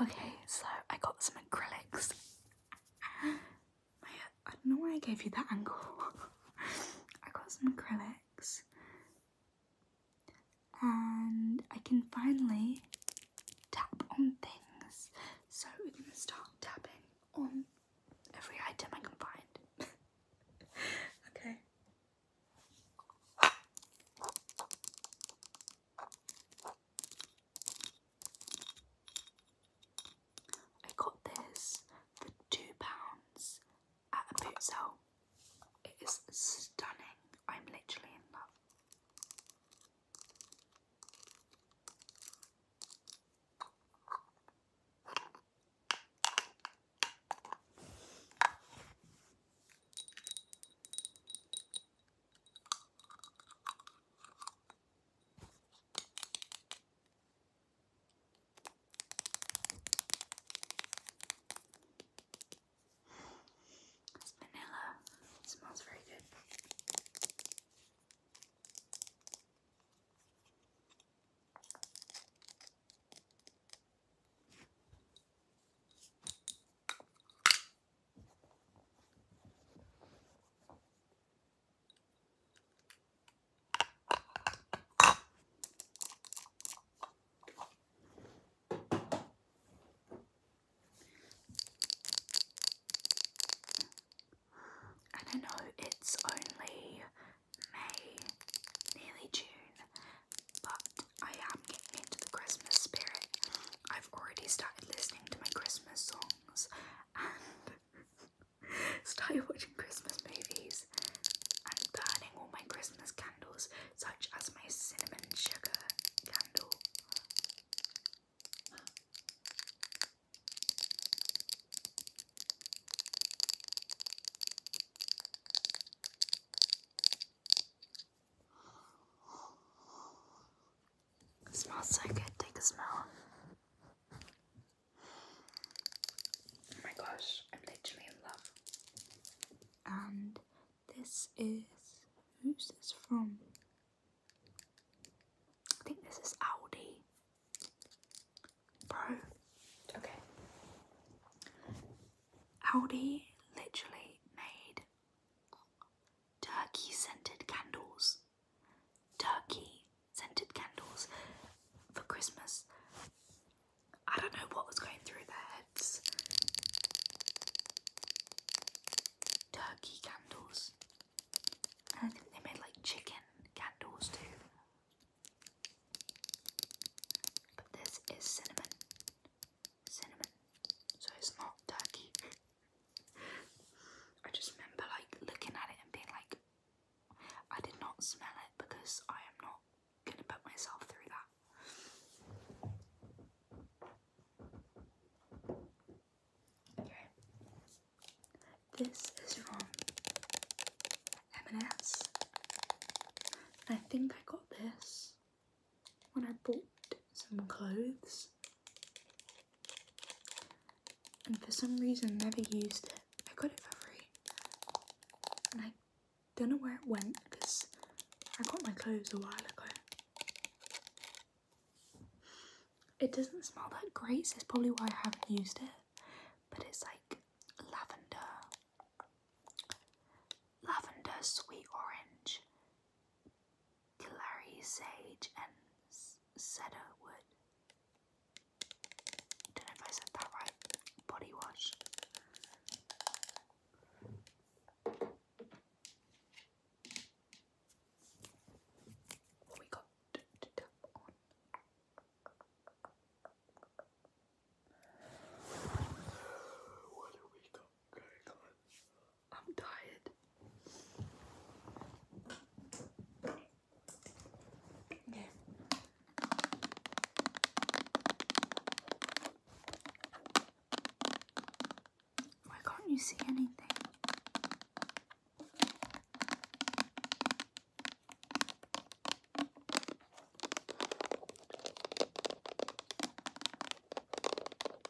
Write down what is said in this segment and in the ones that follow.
Okay, so I got some acrylics. I don't know why I gave you that angle. I got some acrylics. And I can finally tap on things. So we're going to start tapping on every item I can find. okay. I got this for two pounds at a boot sale. It is stunning. I'm literally in love. It's vanilla. It smells very good. And I know it's only May, nearly June, but I am getting into the Christmas spirit. I've already started listening to my Christmas songs and started watching Christmas movies and burning all my Christmas candles, such as my cinnamon sugar candle smells so good. Take a smell. Oh my gosh, I'm literally in love. And this is who's this from? I think this is Audi. Bro. Okay. Audi literally made turkey scented candles. Turkey scented candles for Christmas. I don't know what was going through their heads. Turkey candles. And I think they made like chicken candles too. But this is cinnamon. Cinnamon. So it's not turkey. I just remember like looking at it and being like, I did not smell it because I am not gonna put myself through that. Okay. This is from M&S. I think I got this when I bought some mm. clothes and for some reason never used it. I got it for free and I don't know where it went because I got my clothes a while ago. It doesn't smell that great, so it's probably why I haven't used it, but it's like lavender, lavender, sweet orange, Clary Sage, and Cedarwood. Don't know if I said that right. Body wash. We got What do we got I'm tired. Why can't you see anything?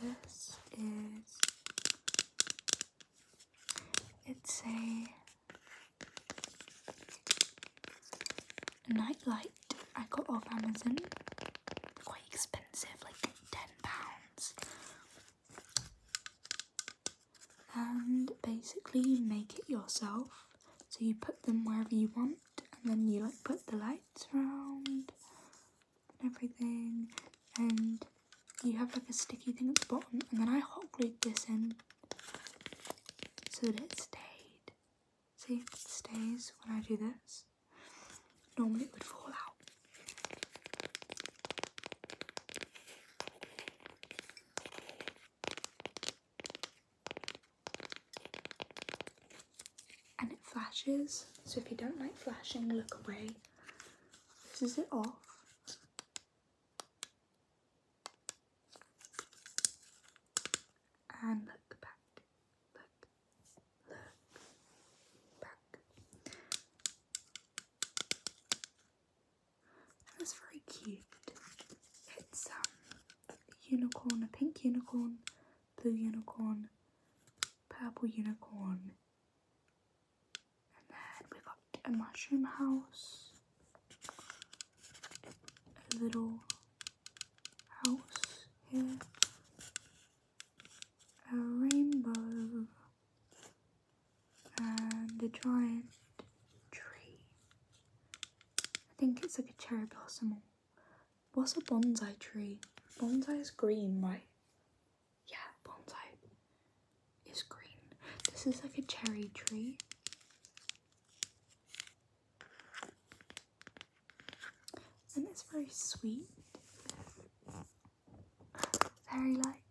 This is it's a night light I got off Amazon. Quite expensive, like ten pounds. And basically make it yourself. So you put them wherever you want, and then you like put the lights around and everything, and you have like a sticky thing at the bottom, and then I hot glued this in so that it stayed. See, it stays when I do this. Normally it would fall out and it flashes. So if you don't like flashing, look away. This is it off. And look back, look, look back. That's very cute. It's um unicorn, a pink unicorn, blue unicorn, purple unicorn. And then we've got a mushroom house, a little house here, a rainbow, and a giant tree. I think it's like a cherry blossom. What's a bonsai tree? Bonsai is green, right? Yeah, bonsai is green. This is like a cherry tree. And it's very sweet. very light.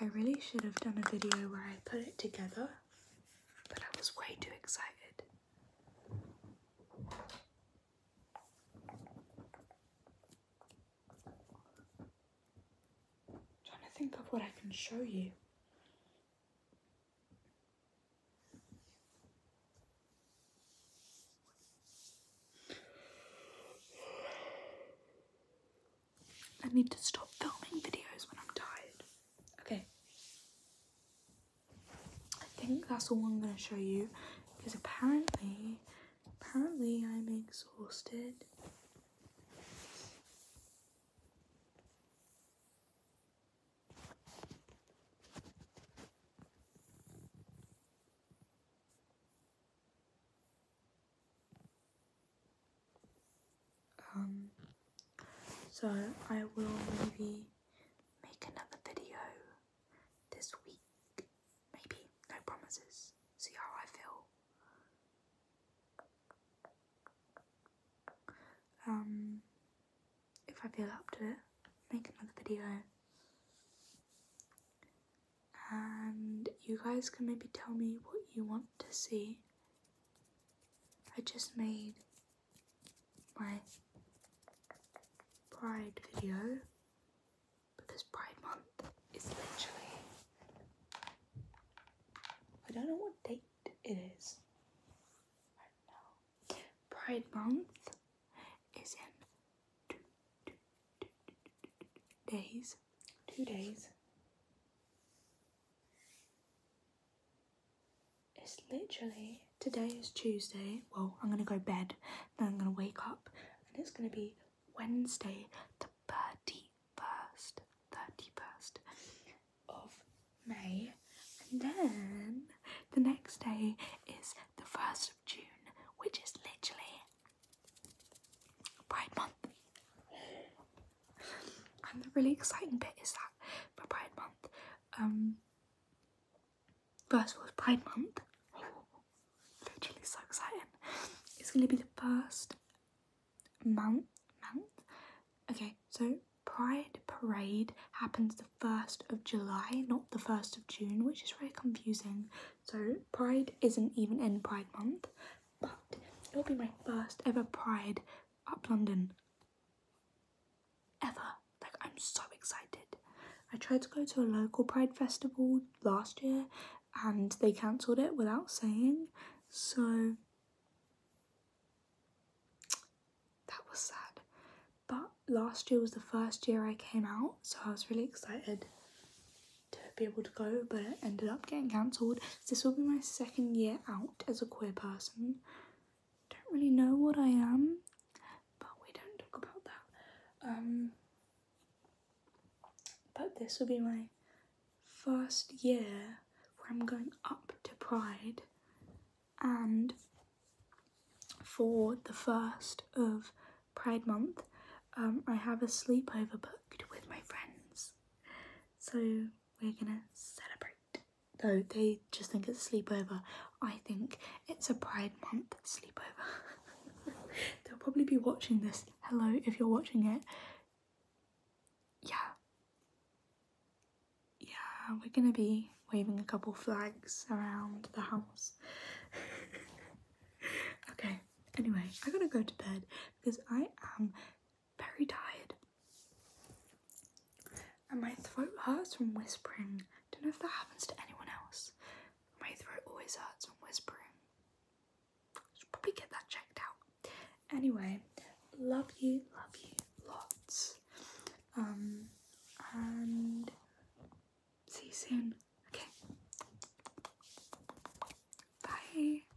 I really should have done a video where I put it together, but I was way too excited. trying to think of what I can show you. I need to stop filming videos when I'm tired. Okay. I think that's all I'm going to show you because apparently, apparently I'm exhausted. Um, so I will maybe make another video this week, maybe, no promises, see how I feel. Um, if I feel up to it, make another video. And you guys can maybe tell me what you want to see. I just made my Pride video because Pride Month is literally. I don't know what date it is. Pride Month is in two days. Two days. It's literally today is Tuesday. Well, I'm gonna go bed, then I'm gonna wake up, and it's gonna be Wednesday, the 31st, 31st of May, and then the next day is the 1st of June, which is literally Pride Month. And the really exciting bit is that for Pride Month, um, first of all, Pride Month. Oh, literally so exciting. It's going to be the first month. Month. Okay, so Pride Parade happens the first of July, not the first of June, which is very confusing. So Pride isn't even in Pride Month but it will be my first ever Pride up London ever. Like, I'm so excited. I tried to go to a local Pride festival last year and they cancelled it without saying, so that was sad. But last year was the first year I came out, so I was really excited to be able to go, but it ended up getting cancelled. This will be my second year out as a queer person. Don't really know what I am, but we don't talk about that. Um, but this will be my first year where I'm going up to Pride, and for the first of Pride Month, um, I have a sleepover booked with my friends. So we're gonna celebrate. Though they just think it's a sleepover. I think it's a Pride Month sleepover. They'll probably be watching this. Hello, if you're watching it. Yeah. Yeah, we're gonna be waving a couple flags around the house. okay, anyway, I gotta go to bed because I am very tired. And my throat hurts from whispering. Don't know if that happens to anyone else. My throat always hurts from whispering. Should probably get that checked out. Anyway, love you, love you lots. Um, and see you soon. Okay. Bye.